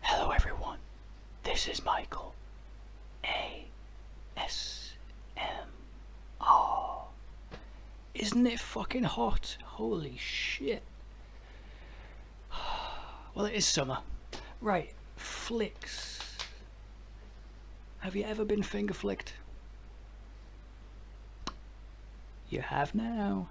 Hello everyone, this is Michael ASMR. Isn't it fucking hot? Holy shit. Well, it is summer. Right, flicks. Have you ever been finger flicked? You have now.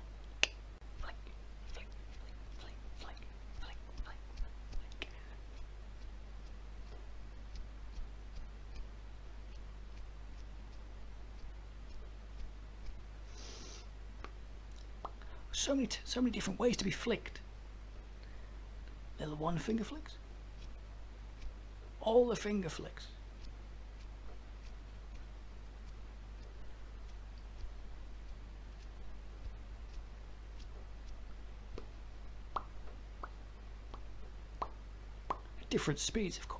So many, so many different ways to be flicked. Little one finger flicks. All the finger flicks. At different speeds, of course.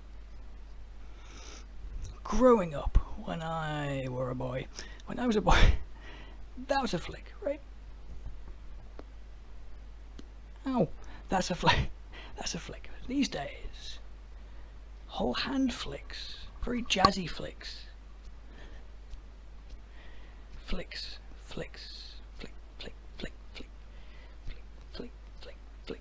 Growing up, when I were a boy, when I was a boy, that was a flick, right? Oh, that's a flick, that's a flick. These days, whole hand flicks, very jazzy flicks. Flicks, flicks, flick, flick, flick, flick, flick, flick, flick,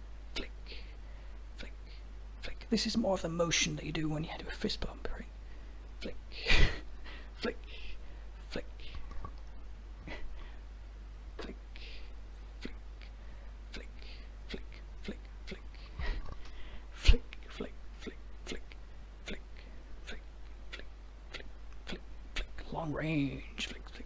flick, flick, flick. This is more of the motion that you do when you do a fist bump, right? Flick, flick, flick, flick, flick, flick, flick, flick, flick, flick, flick, flick, flick, flick, flick, flick, flick, flick, flick, long range, flick, flick,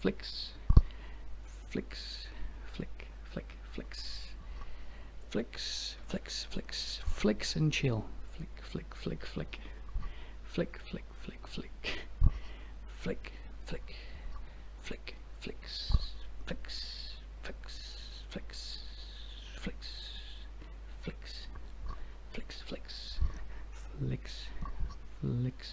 flicks, flicks, flick, flick, flicks, flicks, flicks, flicks, flicks and chill. Flick, flick, flick, flick, flick, flick, flick, flick, flick, flick, flick, flicks, flicks, flicks, flicks, flicks, flicks, flicks, flicks, flicks, flicks.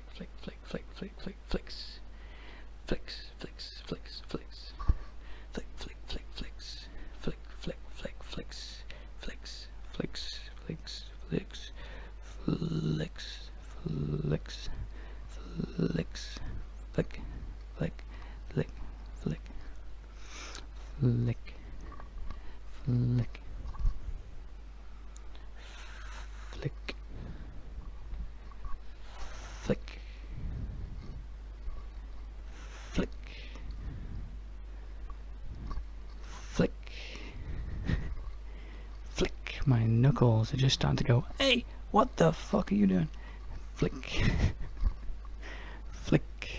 flick, flick, flick, flick, flick, flick, flicks. Flicks, flicks, flicks, flicks. Flick, flick, flick, flicks. Flick, flick, flick, flicks. Flicks, flicks, flicks, flicks. Flicks, flicks, flicks. Flick, flick, flick, flick. Flick, flick. Flick. Flick. Flick. Flick. Flick. My knuckles are just starting to go, hey, what the fuck are you doing? Flick. Flick.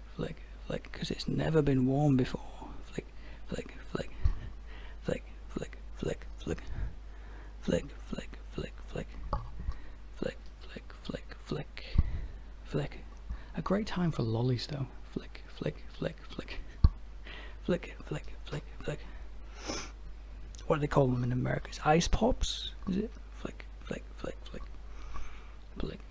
flick, flick, because it's never been worn before. Flick, flick, flick, flick, flick, flick, flick, flick, flick, flick, flick, flick, flick, flick, flick, flick. A great time for lollies though. Flick, flick, flick, flick, flick, flick, flick, flick. What do they call them in America? It's ice pops, is it? Flick, flick, flick, flick, flick.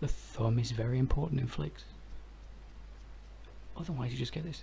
The thumb is very important in flicks. Otherwise you just get this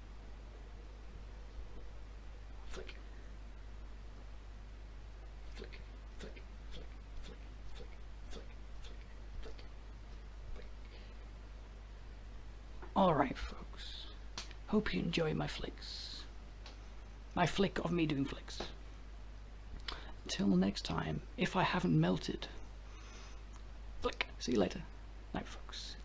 Flick. Flick, flick, flick, flick, flick, flick, flick, flick, Alright, folks. Hope you enjoy my flicks. My flick of me doing flicks. Until next time, if I haven't melted. Flick. See you later. Night, folks.